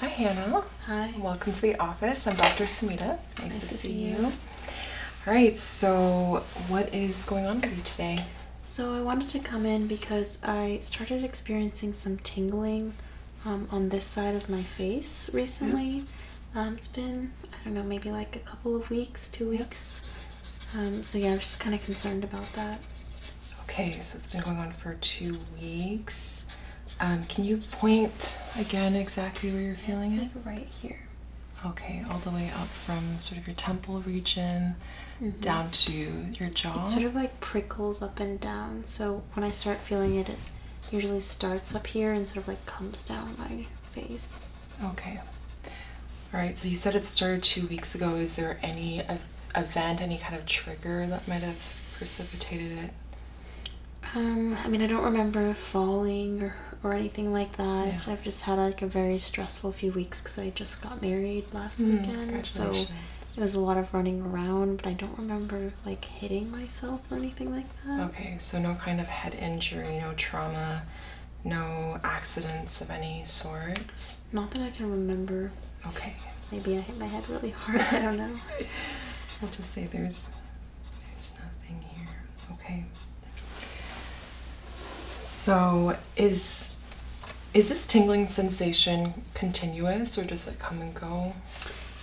Hi, Hannah. Hi. Welcome to the office. I'm Dr. Samita. Nice, to, see, you. All right, so what is going on with you today? So, I wanted to come in because I started experiencing some tingling um, on this side of my face recently. Um, it's been, I don't know, maybe like a couple of weeks, two weeks. Um, so, yeah, I was just kind of concerned about that. Okay, so it's been going on for two weeks. Um, can you point again exactly where you're feeling it? right here. Okay, all the way up from sort of your temple region mm-hmm. down to your jaw. It sort of like prickles up and down. So when I start feeling it, it usually starts up here and sort of like comes down my face. Okay. All right, so you said it started two weeks ago. Is there any event, any kind of trigger that might have precipitated it? Um, I mean, I don't remember falling or, or anything like that. I've just had like a very stressful few weeks because I just got married last mm, weekend. So it was a lot of running around, but I don't remember like hitting myself or anything like that. Okay, so no kind of head injury, no trauma, no accidents of any sorts? Not that I can remember. Okay. Maybe I hit my head really hard. I don't know. I'll just say there's there's nothing here. Okay. So is is this tingling sensation continuous or does it come and go?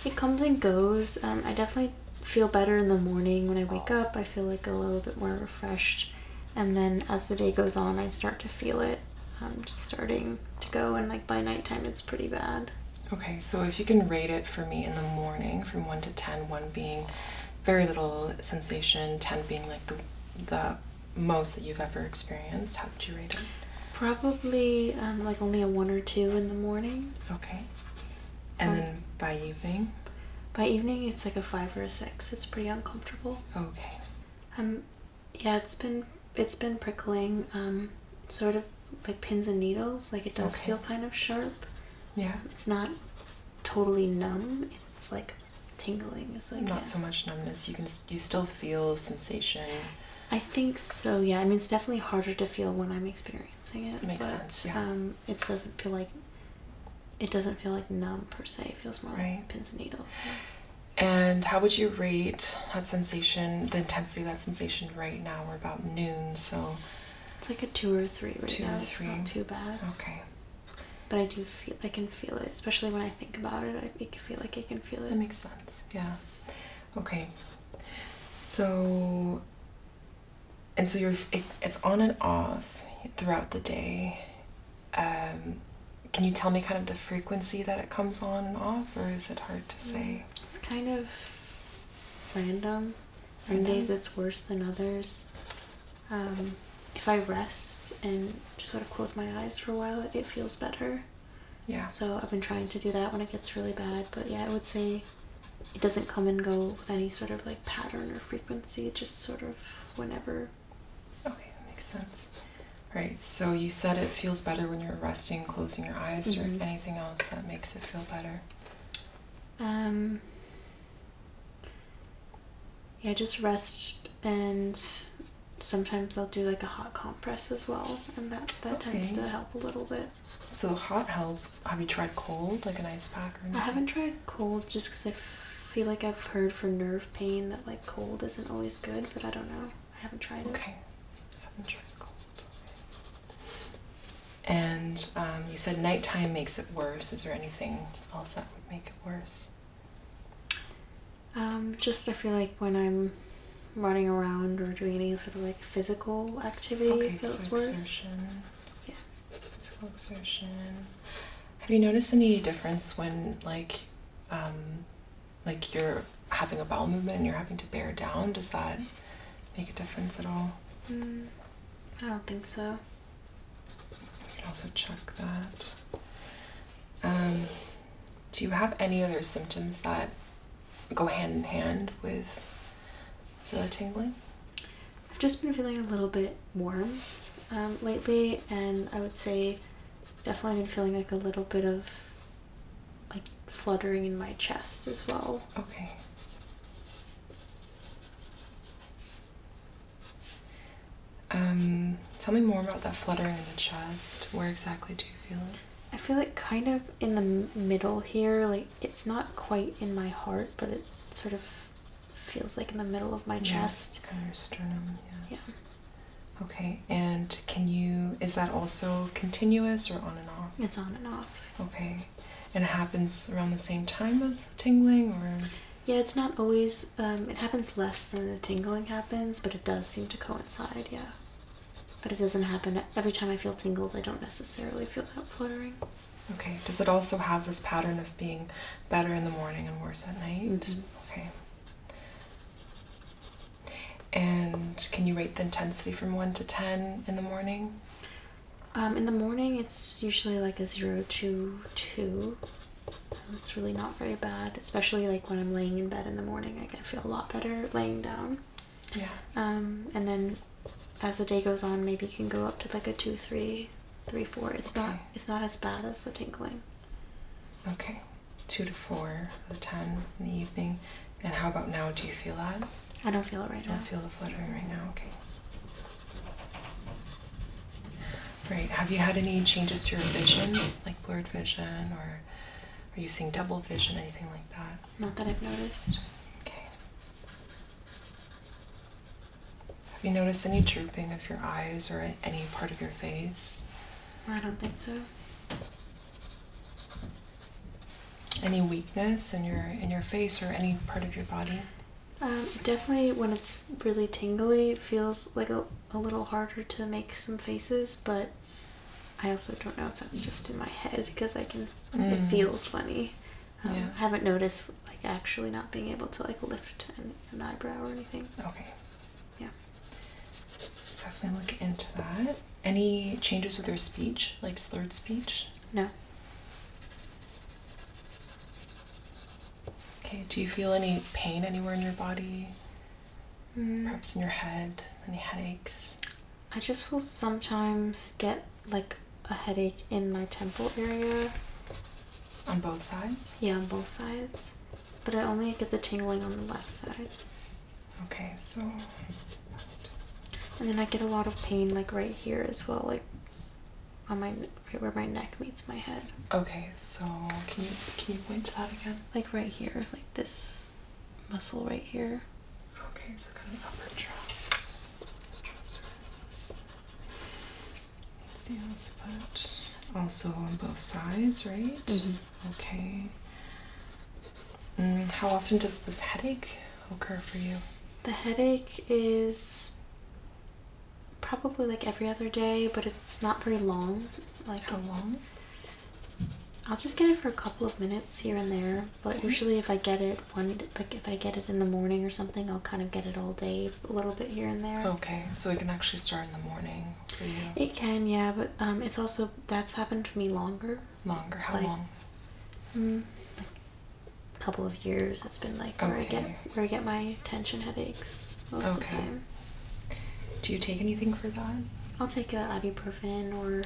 It comes and goes. Um, I definitely feel better in the morning when I wake oh. up. I feel like a little bit more refreshed, and then as the day goes on, I start to feel it. I'm um, just starting to go, and like by nighttime it's pretty bad. Okay, so if you can rate it for me in the morning from 1 to ten, one being very little sensation, 10 being like the, the most that you've ever experienced, how would you rate it? Probably um, like only a 1 or 2 in the morning. Okay. And then um, by evening? By evening, it's like a 5 or a 6. It's pretty uncomfortable. Okay. Um, yeah it's been it's been prickling um sort of like pins and needles like it does feel kind of sharp yeah it's not totally numb it's like tingling it's like not so much numbness you can you still feel sensation i think so yeah i mean it's definitely harder to feel when i'm experiencing it makes sense yeah. um it doesn't feel like it doesn't feel like numb per se it feels more like pins and needles and how would you rate that sensation, the intensity of that sensation right now? We're about noon, so. It's like a two or three right two Or three. It's not too bad. Okay. But I do feel, I can feel it, especially when I think about it. I feel like I can feel it. It makes sense, yeah. Okay. So, and so you're, it's on and off throughout the day. Um, can you tell me kind of the frequency that it comes on and off, or is it hard to say? it's kind of random. Some days it's worse than others. Um, if I rest and just sort of close my eyes for a while, it, it feels better. Yeah. So I've been trying to do that when it gets really bad. But yeah, I would say it doesn't come and go with any sort of like pattern or frequency, just sort of whenever. Okay, that makes sense. Right, so you said it feels better when you're resting, closing your eyes, or mm-hmm. anything else that makes it feel better? Um, yeah, just rest, and sometimes I'll do like a hot compress as well, and that, tends to help a little bit. So hot helps. Have you tried cold, like an ice pack or anything? I haven't tried cold just because I feel like I've heard for nerve pain that like cold isn't always good, but I don't know. I haven't tried Okay. haven't tried cold. And um, you said nighttime makes it worse. Is there anything else that would make it worse? Um, just I feel like when I'm running around or doing any sort of like physical activity, okay, feels so worse. Exertion. Yeah. Physical exertion. Have you noticed any difference when like um, like you're having a bowel movement and you're having to bear down, does that make a difference at all? Mm, I don't think so. We can also check that. Um, do you have any other symptoms that go hand in hand with the tingling? I've just been feeling a little bit warm um, lately, and I would say definitely been feeling like a little bit of like fluttering in my chest as well. Okay. Um, tell me more about that fluttering in the chest. Where exactly do you feel it? I feel it kind of in the middle here. Like it's not quite in my heart, but it sort of feels like in the middle of my chest. Kind of sternum, Yeah. Okay, and can you, is that also continuous or on and off? It's on and off. Okay, and it happens around the same time as tingling or? Yeah, it's not always, um, it happens less than the tingling happens, but it does seem to coincide, yeah. But it doesn't happen, every time I feel tingles, I don't necessarily feel that fluttering. Okay, does it also have this pattern of being better in the morning and worse at night? Mm-hmm. Okay. And can you rate the intensity from 1 to 10 in the morning? Um, in the morning, it's usually like a 0 to 2. Um, it's really not very bad, especially like when I'm laying in bed in the morning. I feel a lot better laying down. Yeah. Um, and then as the day goes on, maybe you can go up to like a 2, 3, 3, 4. It's, not, it's not as bad as the tingling. Okay two to four or ten in the evening. And how about now? Do you feel that? I don't feel it right now. I don't feel the fluttering right now. Okay. Right. Have you had any changes to your vision, like blurred vision, or are you seeing double vision, anything like that? Not that I've noticed. Okay. Have you noticed any drooping of your eyes or any part of your face? I don't think so. Any weakness in your in your face or any part of your body? Um, definitely when it's really tingly, it feels like a, a little harder to make some faces, but I also don't know if that's just in my head because I can. It mm. feels funny. Um, I haven't noticed like actually not being able to like lift an eyebrow or anything. Okay yeah let's definitely look into that any changes with your speech like slurred speech no okay do you feel any pain anywhere in your body mm. perhaps in your head any headaches i just will sometimes get like a headache in my temple area on both sides yeah on both sides but i only get the tingling on the left side Okay, so. And then I get a lot of pain, like right here as well, like on my right where my neck meets my head. Okay, so can you can you point to that again? Like right here, like this muscle right here. Okay, so kind of upper traps. Traps Anything else about? Also on both sides, right? Mm-hmm. Okay. Mm, how often does this headache occur for you? The headache is probably like every other day, but it's not very long. Like how long? I'll just get it for a couple of minutes here and there, but usually if I get it one like if I get it in the morning or something, I'll kind of get it all day, a little bit here and there. Okay, so we can actually start in the morning. It can, yeah, but um, it's also that's happened to me longer. Longer? How long? Mm, a couple of years. It's been like where I get where I get my tension headaches most of the time. Do you take anything for that? I'll take a ibuprofen or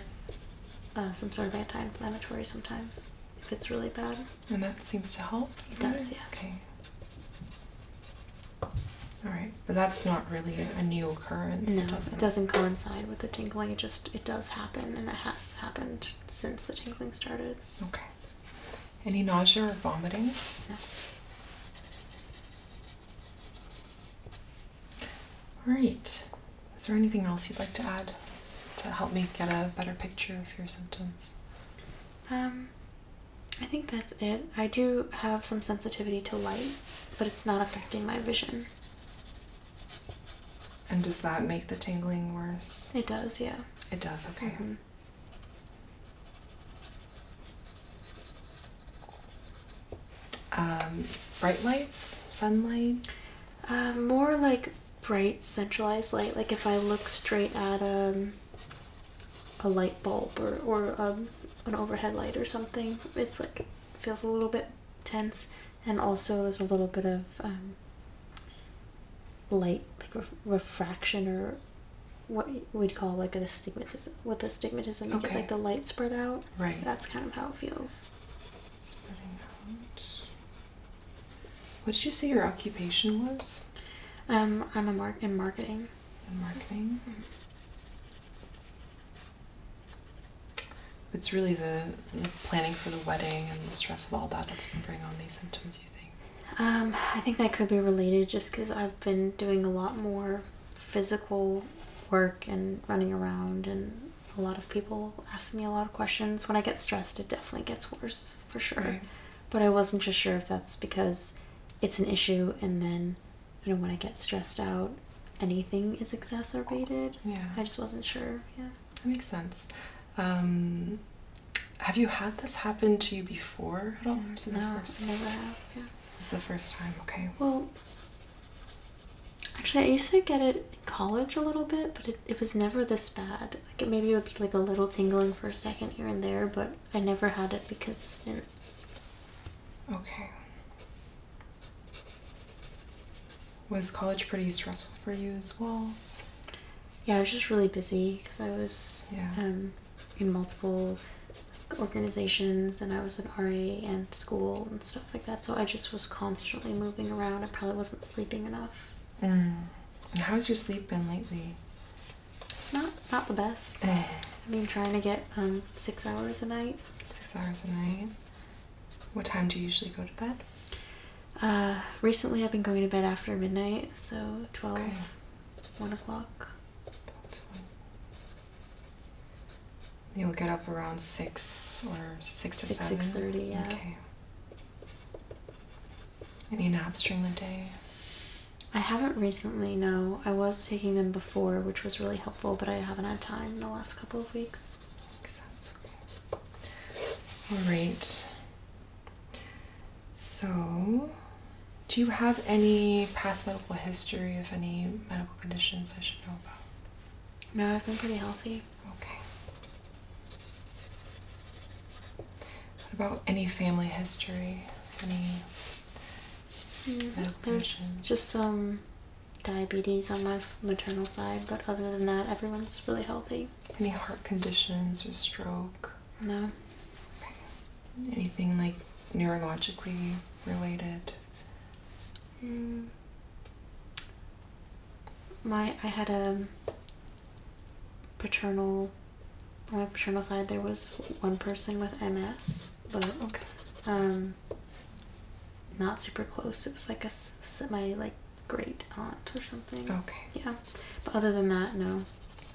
uh, some sort of anti-inflammatory sometimes if it's really bad. And that seems to help. It does, yeah. Okay. All right but that's not really a new occurrence. No, it doesn't. coincide with the tingling. It just it does happen, and it has happened since the tingling started. Okay. Any nausea or vomiting? No. All right. Is there anything else you'd like to add to help me get a better picture of your symptoms? Um, I think that's it. I do have some sensitivity to light but it's not affecting my vision. And does that make the tingling worse? It does, yeah. It does, okay. Mm-hmm. Um, bright lights, sunlight? Uh, more like bright centralized light. Like if I look straight at a, um, a light bulb or, or um, an overhead light or something, it's like feels a little bit tense, and also there's a little bit of um, light, like refraction, or what we'd call like an astigmatism. With astigmatism, you get like the light spread out. Right. That's kind of how it feels. Spreading out. What did you say your occupation was? Um, I'm a mark in marketing. In marketing. Mm-hmm. It's really the, planning for the wedding and the stress of all that that's been bringing on these symptoms, you think? Um, I think that could be related just because I've been doing a lot more physical work and running around, and a lot of people ask me a lot of questions. When I get stressed, it definitely gets worse for sure. But I wasn't just sure if that's because it's an issue and then you know when I get stressed out, anything is exacerbated. Yeah. I just wasn't sure. Yeah. That makes sense. Um, have you had this happen to you before at all? no, the first the first time. Okay. Well, actually, I used to get it in college a little bit, but it, it was never this bad. Like it, maybe it would be like a little tingling for a second here and there, but I never had it be consistent. Okay. Was college pretty stressful for you as well? Yeah, I was just really busy because I was um, in multiple organizations and I was an RA and school and stuff like that. So I just was constantly moving around. I probably wasn't sleeping enough. Mm. And how's your sleep been lately? Not not the best. Eh. I mean, trying to get um, six hours a night Six hours a night. What time do you usually go to bed? Uh, recently I've been going to bed after midnight, so twelve, one o'clock. You'll get up around 6 or 6 to 7? 6.30, yeah. Okay. Any naps during the day? I haven't recently, no. I was taking them before, which was really helpful but I haven't had time in the last couple of weeks. All right. So, do you have any past medical history of any medical conditions I should know about? No, I've been pretty healthy. Okay. about any family history? Any mm, There's just some diabetes on my maternal side, but other than that, everyone's really healthy. Any heart conditions or stroke? No. Okay. Anything like neurologically related? Mm. My I had a paternal on my paternal side there was one person with MS, but okay. um not super close. It was like a my like great aunt or something. Okay. Yeah, but other than that, no.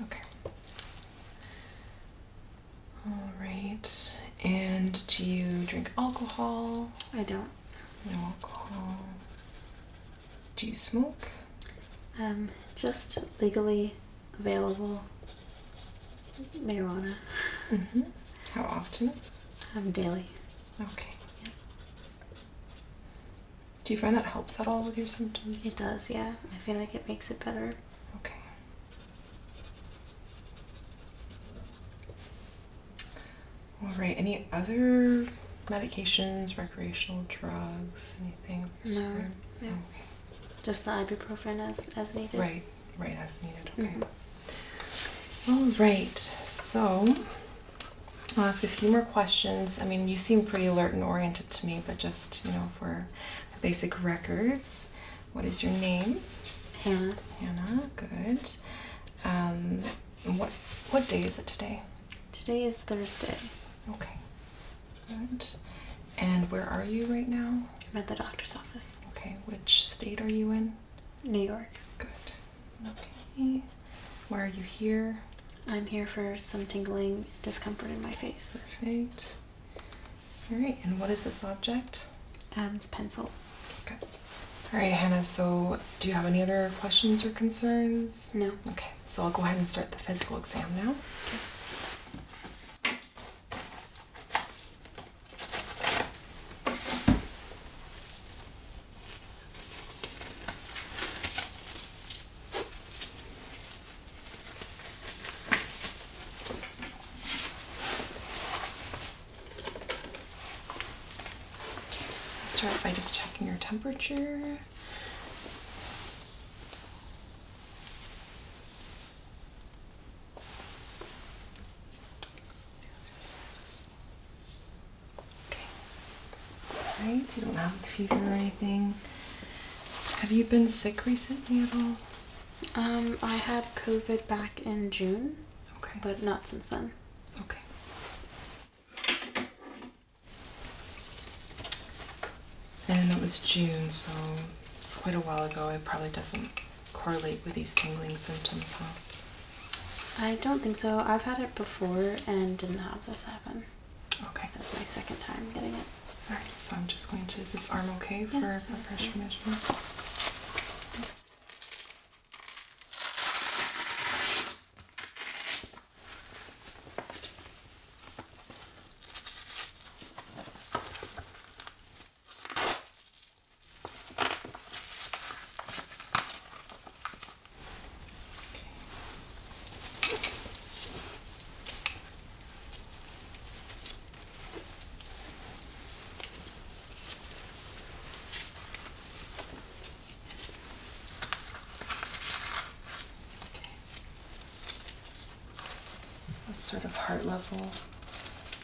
Okay. All right. And do you drink alcohol? I don't. No alcohol. Do you smoke? Um, just legally available Marijuana. -hmm. How often? I'm um, daily. Okay. Do you find that helps at all with your symptoms? It does, yeah. I feel like it makes it better. Okay. All right. Any other medications, recreational drugs, anything? No. Okay. Just the ibuprofen as as needed. Right right as needed. Okay. Mm-hmm. All right. So I'll ask a few more questions. I mean, you seem pretty alert and oriented to me, but just you know, for basic records, what is your name? Hannah. Hannah. Good. Um, what what day is it today? Today is Thursday. Okay. Good. And where are you right now? I'm at the doctor's office. Okay, which state are you in? New York. Good. Okay. Why are you here? I'm here for some tingling discomfort in my face. Perfect. All right, and what is this object? Um, and pencil. Okay. All right, Hannah, so do you have any other questions or concerns? No. Okay, so I'll go ahead and start the physical exam now. Start by just checking your temperature. Okay. You don't have a fever or anything. Have you been sick recently at all? Um, I had COVID back in June. Okay. But not since then. Okay. And it was June, so it's quite a while ago. It probably doesn't correlate with these tingling symptoms, huh? I don't think so. I've had it before and didn't have this happen. Okay. That's my second time getting it. Alright, so I'm just going to. Is this arm okay for yes, a pressure measurement? That's sort of heart level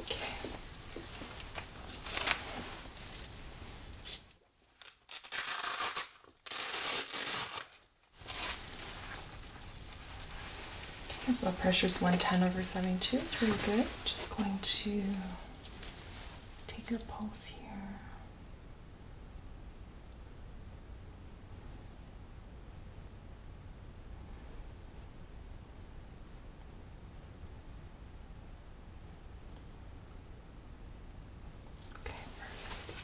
Okay. Okay, blood is 110 over 72. It's really good right, just going to take your pulse here. Okay, perfect.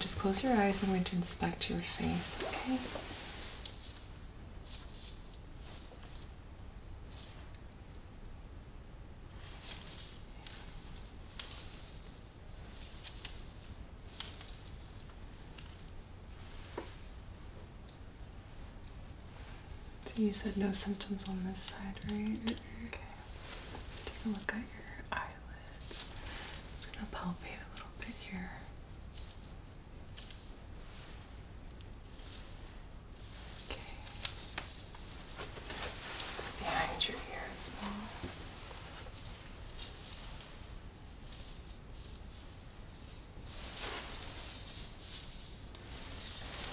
Just close your eyes. I'm going to inspect your face, okay? So you said no symptoms on this side, right? Mm-hmm. Okay. Take a look at your eyelids. It's gonna palpate a little bit here. Okay. Behind your ears. well.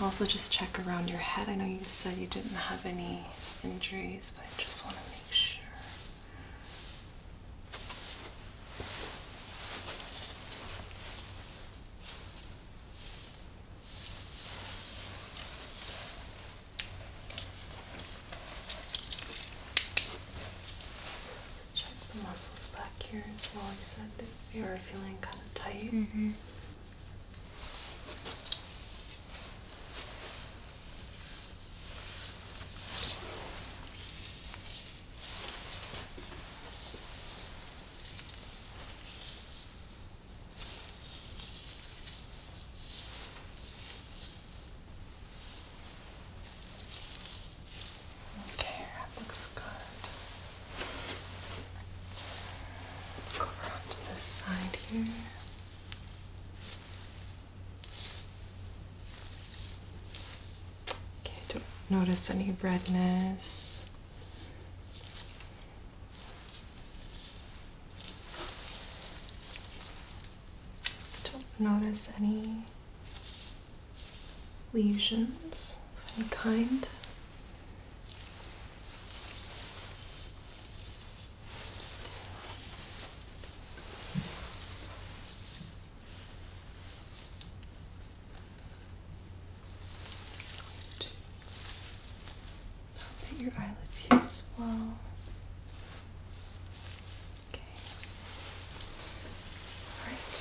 Also, just check around your head. I know you said you didn't have any injuries, but I just want to make sure check the muscles back here as well. You said that you were feeling kind of tight. Mm-hmm. Okay, looks good. Go around to this side here. Okay, don't notice any redness. Don't notice any lesions of any kind. Just going to your eyelids here as well. Okay. All right.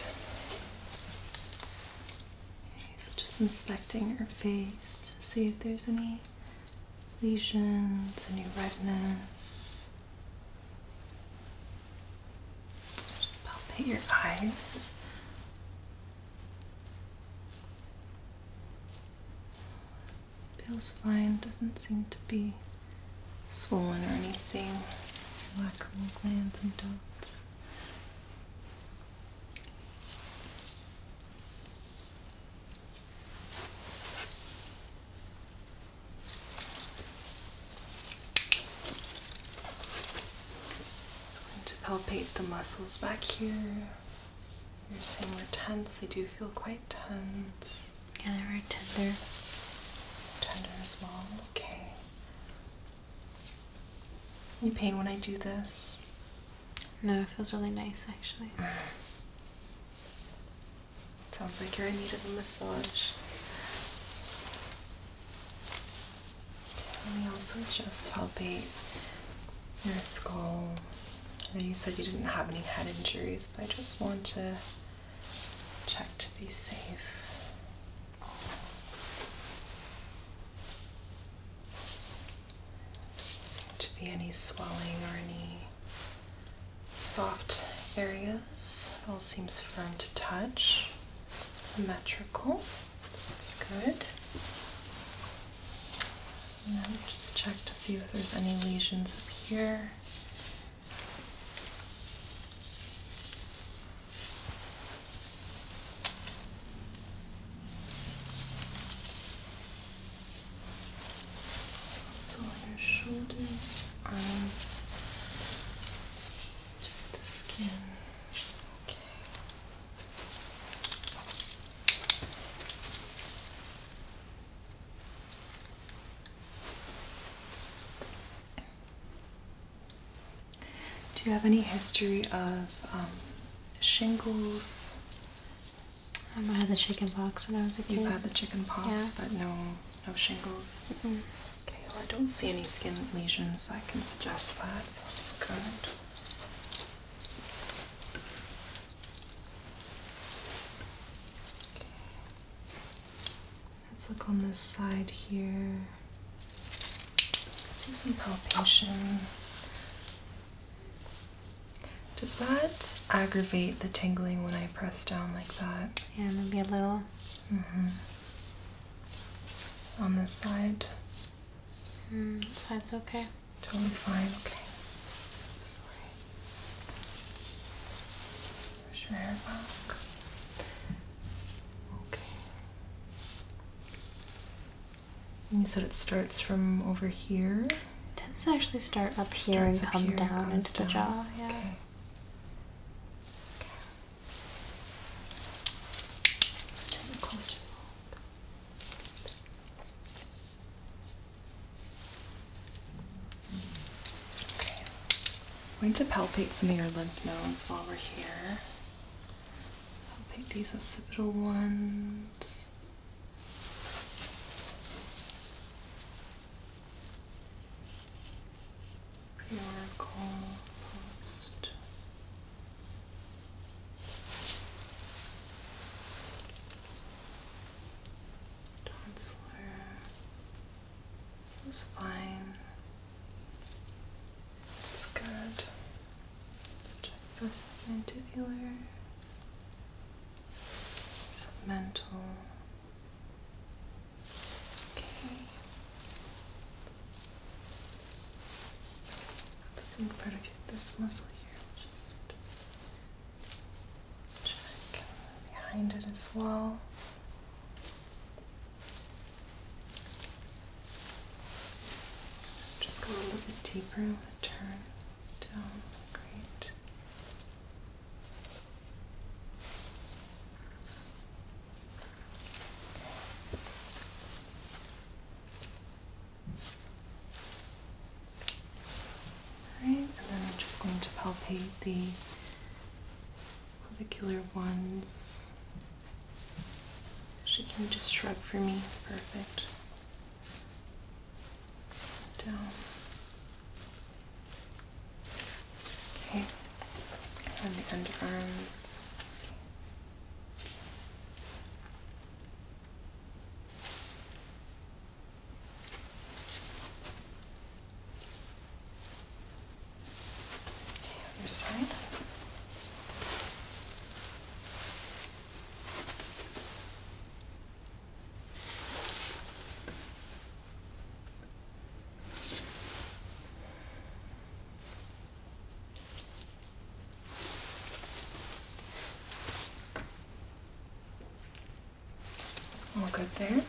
Okay, so just inspecting your face to see if there's any lesions, any redness. Just palpate your eyes. Feels fine, doesn't seem to be swollen or anything. Lacrimal glands and dots. So going to palpate the muscles back here. You're saying we're tense. They do feel quite tense. Yeah, they're very tender. Tender small. Okay. You pain when I do this? No, it feels really nice actually. Sounds like you're in need of a massage. Let me also just palpate your skull. I know you said you didn't have any head injuries, but I just want to check to be safe. Seem to be any swelling or any soft areas. It all seems firm to touch, symmetrical. That's good. And then just check to see if there's any lesions up here. So on your shoulders, arms, to the skin. Okay. Okay. Do you have any history of um, shingles? Um, I had the chicken pox when I was a kid. You had the chicken pox, but no, no shingles. Okay, well, I don't see any skin lesions. I can suggest that. So that's good. Let's look on this side here. Let's do some palpation. Does that aggravate the tingling when I press down like that? Yeah, maybe a little. Mm-hmm. On this side? Mm, this side's okay. Totally fine, okay. sorry. Push your hair back. Okay. You said it starts from over here. It tends to actually start up here and come down into the jaw. Yeah. Okay. Okay. I'm going to palpate some of your lymph nodes while we're here. I'll pick these occipital ones. Oracle post. Tonsillar fine. It's good. Check the submandibular, submental. Okay. see if So can get this muscle here, just check behind it as well. Just go a little bit deeper with turn down. Great. Alright, and then I'm just going to palpate the clavicular ones she can just shrug for me? Perfect. Down. Okay. And the underarms. The other side. All good there.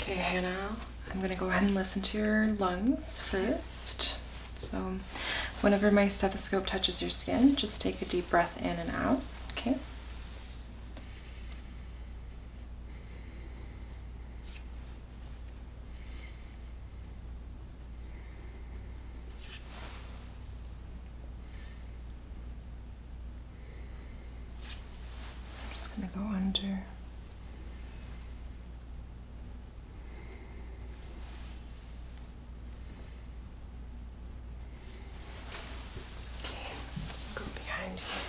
Okay, Hannah, I'm gonna go ahead and listen to your lungs first. So, whenever my stethoscope touches your skin, just take a deep breath in and out, okay? I'm just going to go under Okay, go behind you. Okay.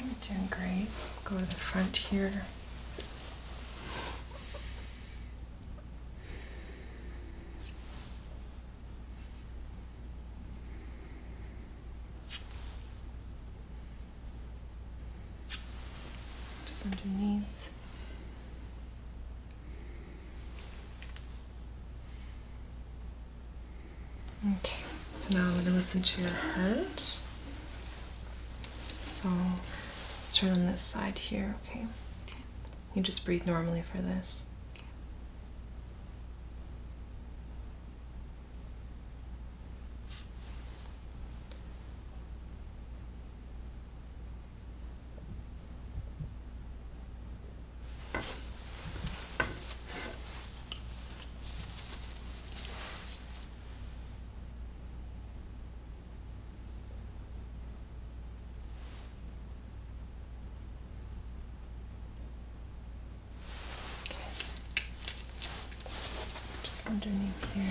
You're doing great. Go to the front here. Just underneath. Okay, so now I'm going to listen to your heart. So turn on this side here, okay? Okay. You just breathe normally for this. Okay. Just underneath here.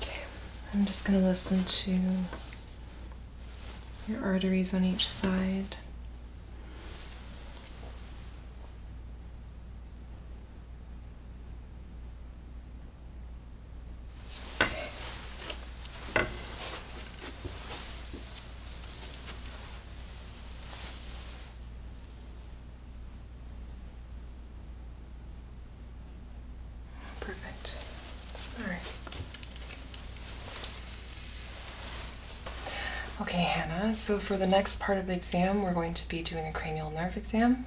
Okay, I'm just going to listen to your arteries on each side. Perfect. All right. Okay, Hannah, so for the next part of the exam, we're going to be doing a cranial nerve exam.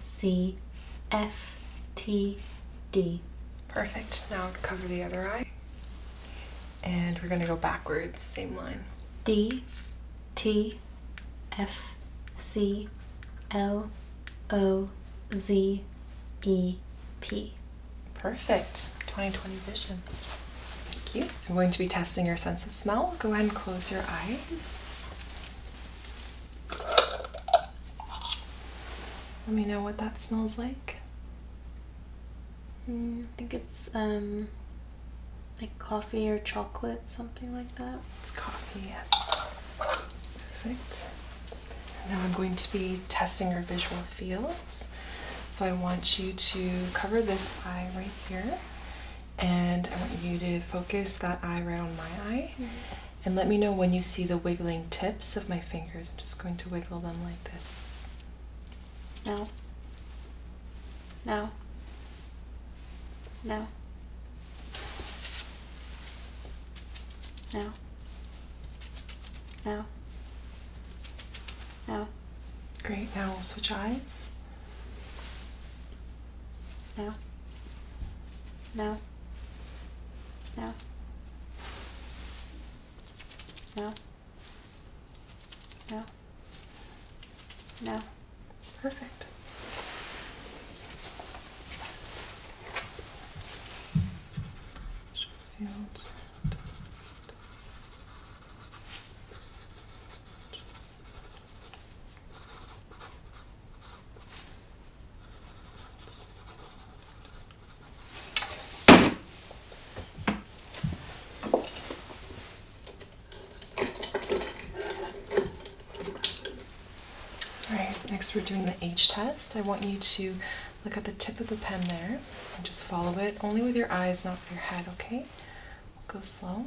C, F, T, D. Perfect. Now cover the other eye. And we're going to go backwards, same line. D, T, F, C, L, O, Z, E, P. Perfect. 2020 vision. Thank you. I'm going to be testing your sense of smell. Go ahead and close your eyes. Let me know what that smells like. Mm, I think it's um, like coffee or chocolate, something like that. It's coffee, yes. Perfect. Now I'm going to be testing your visual fields. So I want you to cover this eye right here, and I want you to focus that eye right on my eye. Mm-hmm. And let me know when you see the wiggling tips of my fingers. I'm just going to wiggle them like this. Now. Now. Now. Now. Now. Now. Great. Now we'll switch eyes. Now. Now. No. No. No. No. Perfect. Fields. All right, next we're doing the H test. I want you to look at the tip of the pen there and just follow it, only with your eyes, not with your head, okay? We'll go slow.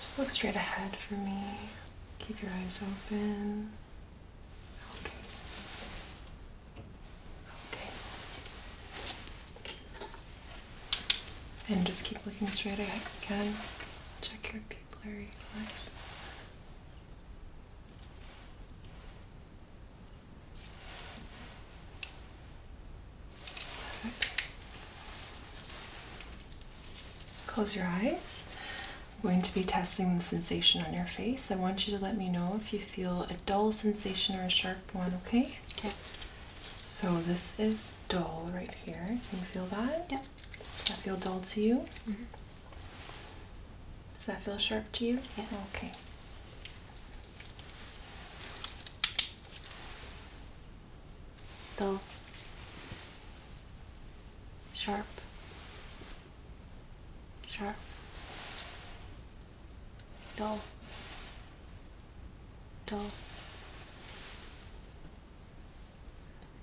Just look straight ahead for me. Keep your eyes open. Okay. Okay. And just keep looking straight ahead again. Check your pupillary reflex. Close your eyes. I'm going to be testing the sensation on your face. I want you to let me know if you feel a dull sensation or a sharp one, okay? Okay. So this is dull right here. Can you feel that? Yep. Does that feel dull to you? Mm -hmm. Does that feel sharp to you? Yes. Okay dull, sharp, sharp, dull, dull,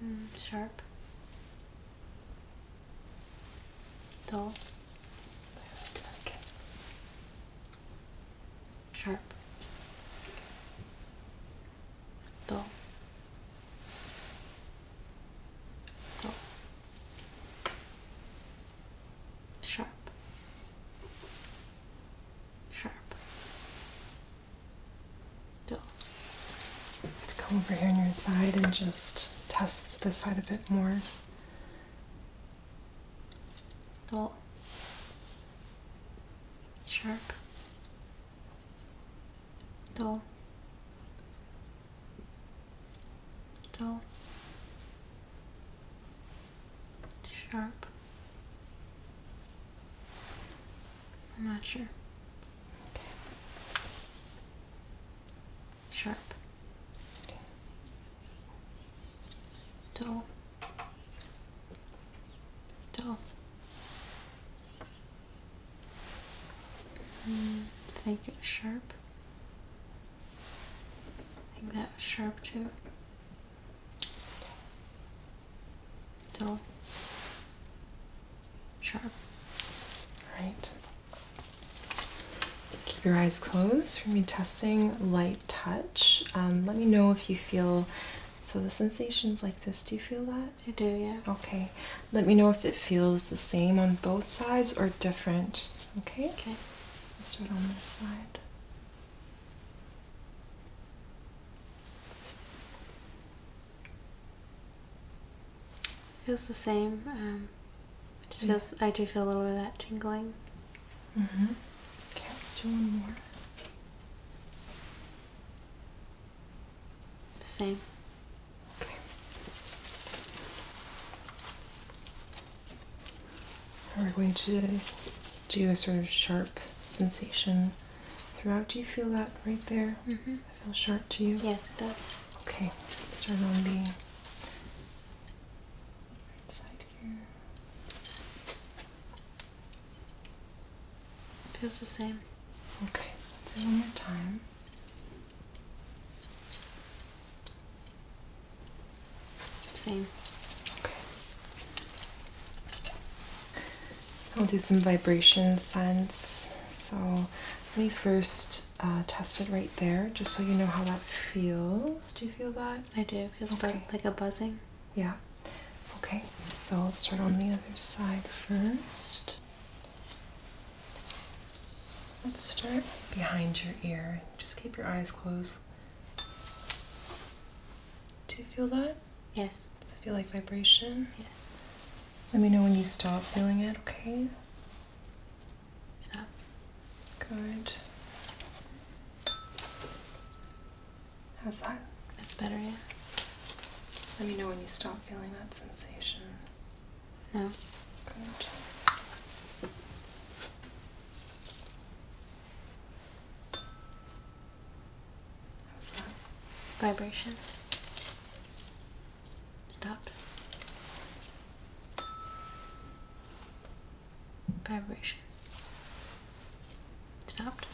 mm, sharp, dull sharp, dull, dull, sharp, sharp, dull. let come over here on your side and just test this side a bit more dull, sharp, dull, dull, sharp. I'm not sure. Sharp. Dove. Dove. Mm, think it was sharp. I think that was sharp too. Dull. Sharp. Right. Keep your eyes closed for me testing light touch. Um, let me know if you feel so the sensations like this. Do you feel that? I do, yeah. Okay. Let me know if it feels the same on both sides or different. Okay? Okay. Let's start on this side. Feels the same. Um, mm. feels. I do feel a little bit of that tingling. Mm-hmm. Okay, let's do one more. Same. Okay. We're going to do a sort of sharp sensation throughout. Do you feel that right there? I mm-hmm. feel sharp to you? Yes, it does. Okay. Start on the right here. Feels the same. Okay, let's do one more time. Same. Okay. I'll do some vibration sense. So let me first uh, test it right there, just so you know how that feels. Do you feel that? I do. It feels like a buzzing. Yeah. Okay, so I'll start on the other side first. Let's start behind your ear. Just keep your eyes closed. Do you feel that? Yes. feel like vibration? Yes. Let me know when you stop feeling it, okay? Stop. Good. How's that? That's better, yeah. Let me know when you stop feeling that sensation. No. Good. How's that? Vibration. Stopped vibration. Stopped.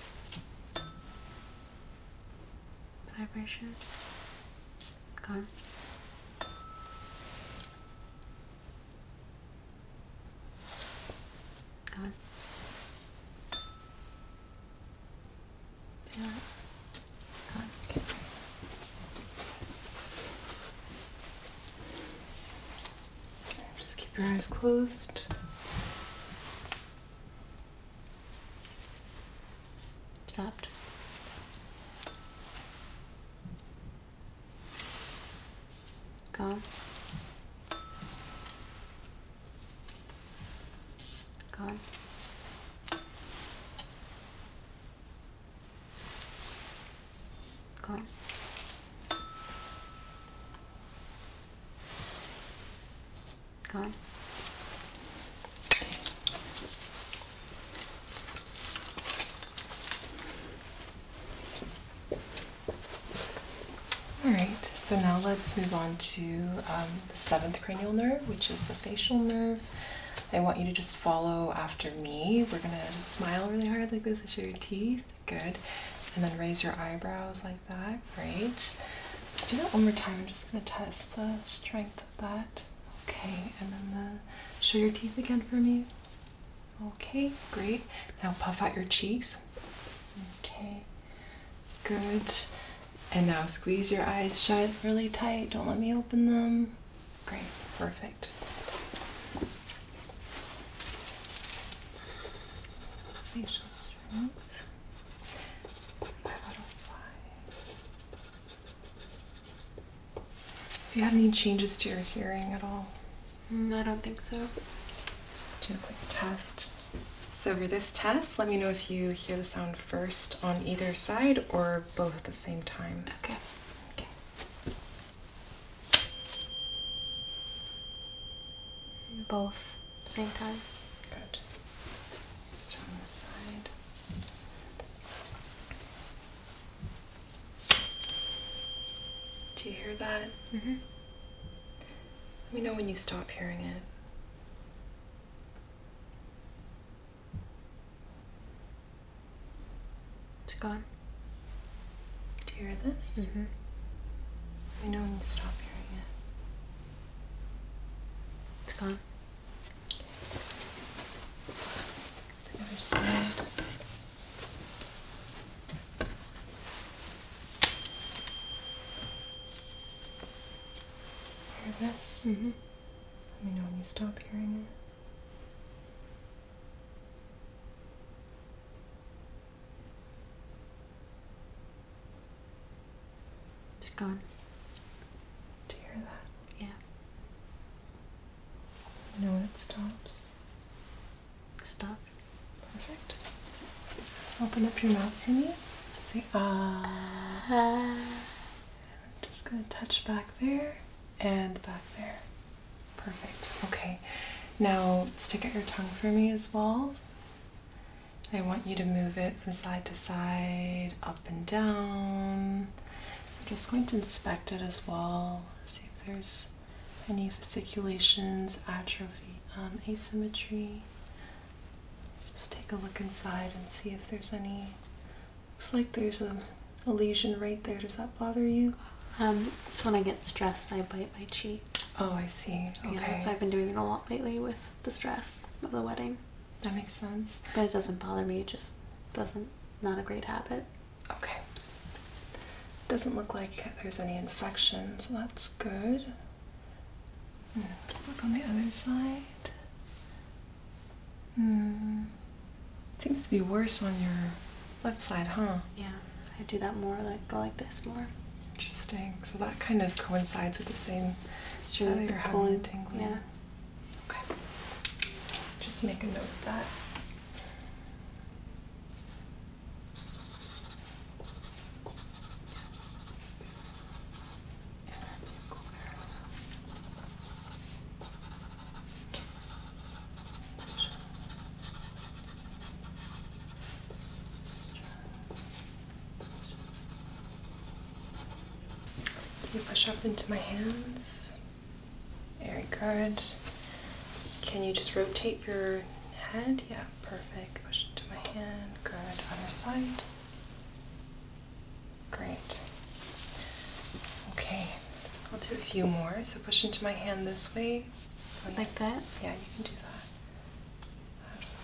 Vibration. Gone. Gone. Feel Okay. Just keep your eyes closed. Stopped. Gone. Gone. Okay. Okay. All right, so now let's move on to um, the seventh cranial nerve, which is the facial nerve. I want you to just follow after me. We're gonna smile really hard like this show your teeth, good. And then raise your eyebrows like that, great. Let's do that one more time. I'm just gonna test the strength of that. Okay, and then the, show your teeth again for me. Okay, great. Now puff out your cheeks. Okay, good. And now squeeze your eyes shut really tight. Don't let me open them. Great, perfect. Facial strength. Five out of five. Have you had any changes to your hearing at all? Mm, I don't think so. Let's just do a quick test. So for this test, let me know if you hear the sound first on either side or both at the same time. Okay. Okay. Both same time? Good. Just from side. Do you hear that? Mm-hmm. Let me know when you stop hearing it. It's gone. Do you hear this? Mm -hmm. know when you stop hearing it. It's gone. Hear this? Mm-hmm. Let me know when you stop hearing it. It's gone. Do hear that? Yeah. You know when it stops? Stop. Perfect. Open up your mouth for Say ah. ah. I'm just gonna touch back there and back there. Perfect. Okay, now stick out your tongue for me as well. I want you to move it from side to side, up and down. I'm just going to inspect it as well, see if there's any fasciculations, atrophy, um, asymmetry. Let's just take a look inside and see if there's any. Looks like there's a a lesion right there. Does that bother you? Um, just when I get stressed, I bite my cheek. Oh, I see. Okay. I've been doing it a lot lately with the stress of the wedding. That makes sense. But it doesn't bother me. It just doesn't. Not a great habit. Okay. Doesn't look like there's any infection, so that's good. Hmm. Let's look on the other side. Hmm. It seems to be worse on your left side, huh? Yeah, I do that more, like go like this more. Interesting. So that kind of coincides with the same it's true, like the tingling. Yeah. Okay. Just make a note of that you push up into my hands? Very good. Can you just rotate your head? Yeah, perfect. Push into my hand. Good. Other side. Great. Okay, I'll do a few more. So push into my hand this way. Like that? Yeah, you can do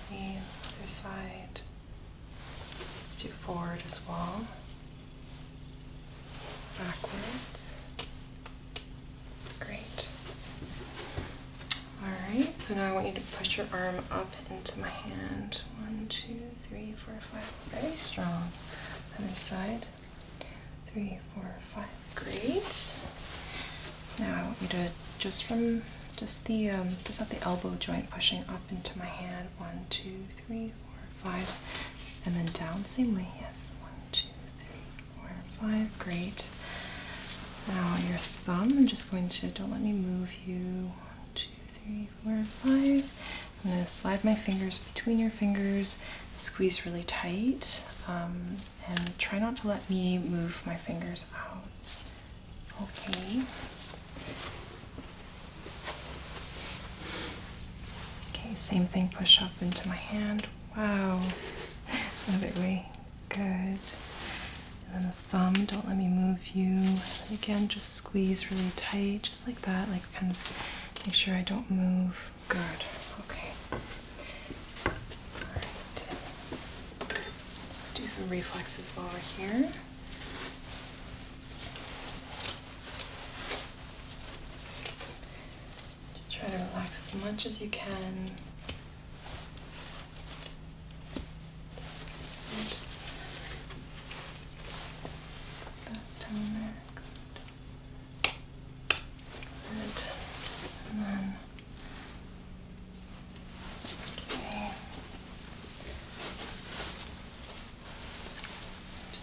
that. other side. Let's do forward as well. Backwards. Great. Alright, so now I want you to push your arm up into my hand. One, two, three, four, five. Very strong. Other side. Three, four, five. Great. Now I want you to just from just the um, just have the elbow joint pushing up into my hand. One, two, three, four, five, and then down. Same Yes. One, two, three, four, five. Great. Now your thumb. I'm just going to. Don't let me move you. One, two, three, four, five. I'm going to slide my fingers between your fingers squeeze really tight um, and try not to let me move my fingers out. Okay. Okay, same thing, push up into my hand. Wow. Another way. Good. And then the thumb, don't let me move you. again, just squeeze really tight, just like that, like kind of make sure I don't move Good. Okay. All right. Let's do some reflexes while we're here. Just try to relax as much as you can. Good. That down Good. And then okay.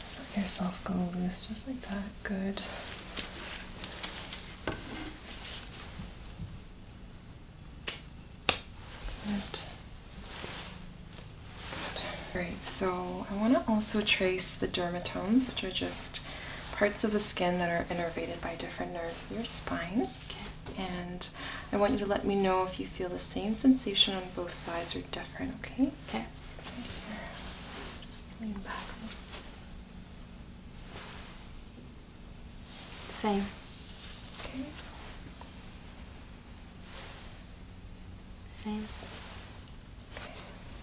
Just let yourself go loose just like that. Good. Good. Good. All right, so I want to also trace the dermatomes, which are just parts of the skin that are innervated by different nerves in your spine. And I want you to let me know if you feel the same sensation on both sides or different, okay? Okay. Here. Just lean back. Same. Okay. Same.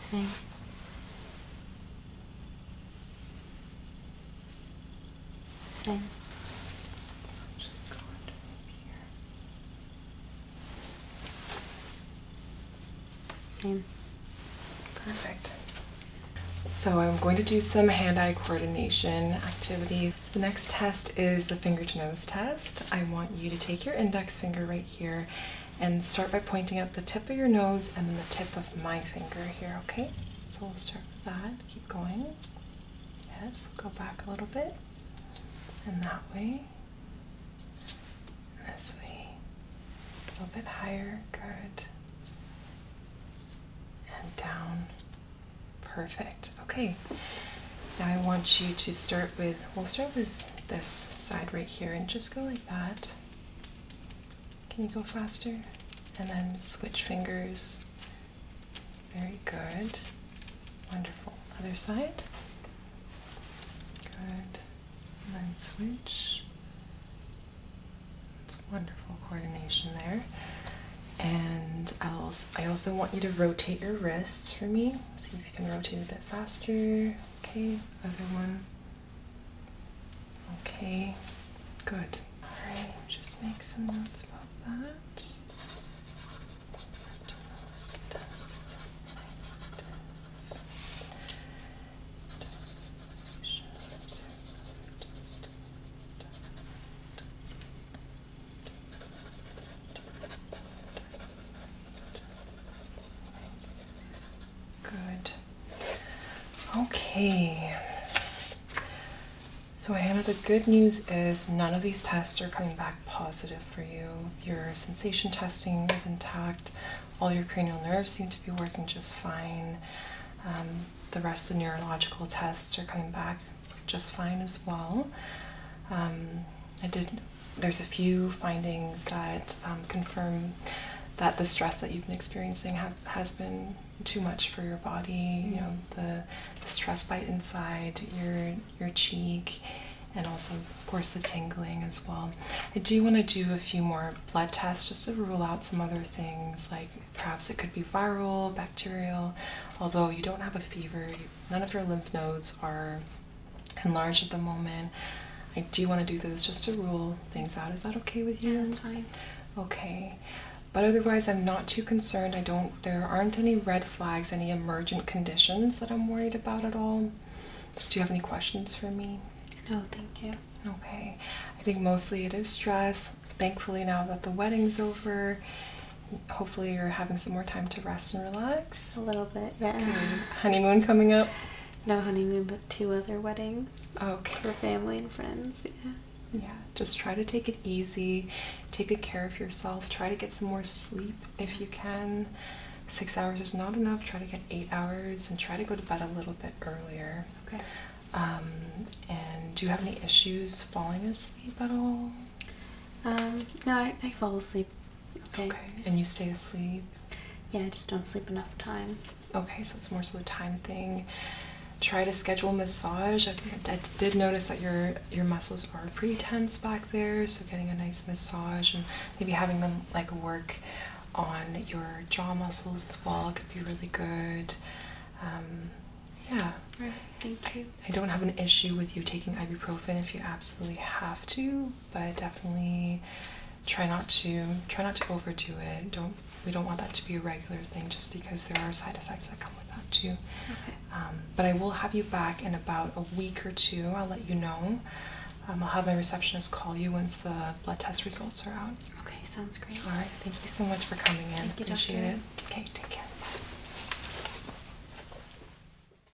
Same. Same. just go under here. Same. Perfect. So I'm going to do some hand-eye coordination activities. The next test is the finger to nose test. I want you to take your index finger right here and start by pointing at the tip of your nose and the tip of my finger here, okay? So we'll start with that. Keep going. Yes, go back a little bit. And that way. And this way. A little bit higher. Good. And down. Perfect. Okay. Now I want you to start with, we'll start with this side right here and just go like that. Can you go faster? And then switch fingers. Very good. Wonderful. Other side. Good. And then switch. It's wonderful coordination there. And i I also want you to rotate your wrists for me. See if you can rotate it faster. Okay, other one. Okay, good. Alright, just make some notes about that. Good. Okay. So, Hannah, the good news is none of these tests are coming back positive for you. Your sensation testing is intact. All your cranial nerves seem to be working just fine. Um, the rest of the neurological tests are coming back just fine as well. Um, I did there's a few findings that um, confirm that the stress that you've been experiencing have, has been too much for your body. You know mm-hmm. the, stress bite inside your your cheek, and also of course the tingling as well. I do want to do a few more blood tests just to rule out some other things like perhaps it could be viral, bacterial. Although you don't have a fever, none of your lymph nodes are enlarged at the moment. I do want to do those just to rule things out. Is that okay with you? Yeah, that's fine. Okay. But otherwise, I'm not too concerned. I don't, there aren't any red flags, any emergent conditions that I'm worried about at all. Do you have any questions for me? No, thank you. Okay. I think mostly it is stress. Thankfully, now that the wedding's over, hopefully you're having some more time to rest and relax. A little little yeah. Honeymoon coming up? No honeymoon, but two other weddings. Okay. For family and friends, yeah. Yeah, just try to take it easy, take good care of yourself, try to get some more sleep if you can. Six hours is not enough, try to get eight hours and try to go to bed a little bit earlier. Okay. Um, and do you have any issues falling asleep at all? Um, no, I, I fall asleep Okay. And you stay asleep? Yeah, I just don't sleep enough time. Okay, so it's more so the time thing. Try to schedule massage. I, did notice that your your muscles are pretty tense back there, so getting a nice massage and maybe having them like work on your jaw muscles as well could be really good. Um, yeah. Right. Thank you. I don't have an issue with you taking ibuprofen if you absolutely have to, but definitely try not to try not to overdo it. Don't we don't want that to be a regular thing just because there are side effects that come with that too. Um, but I will have you back in about a week or two. I'll let you know. Um, I'll have my receptionist call you once the blood test results are out. Okay, sounds great. All right, thank you so much for coming in. Appreciate it. Okay, take care.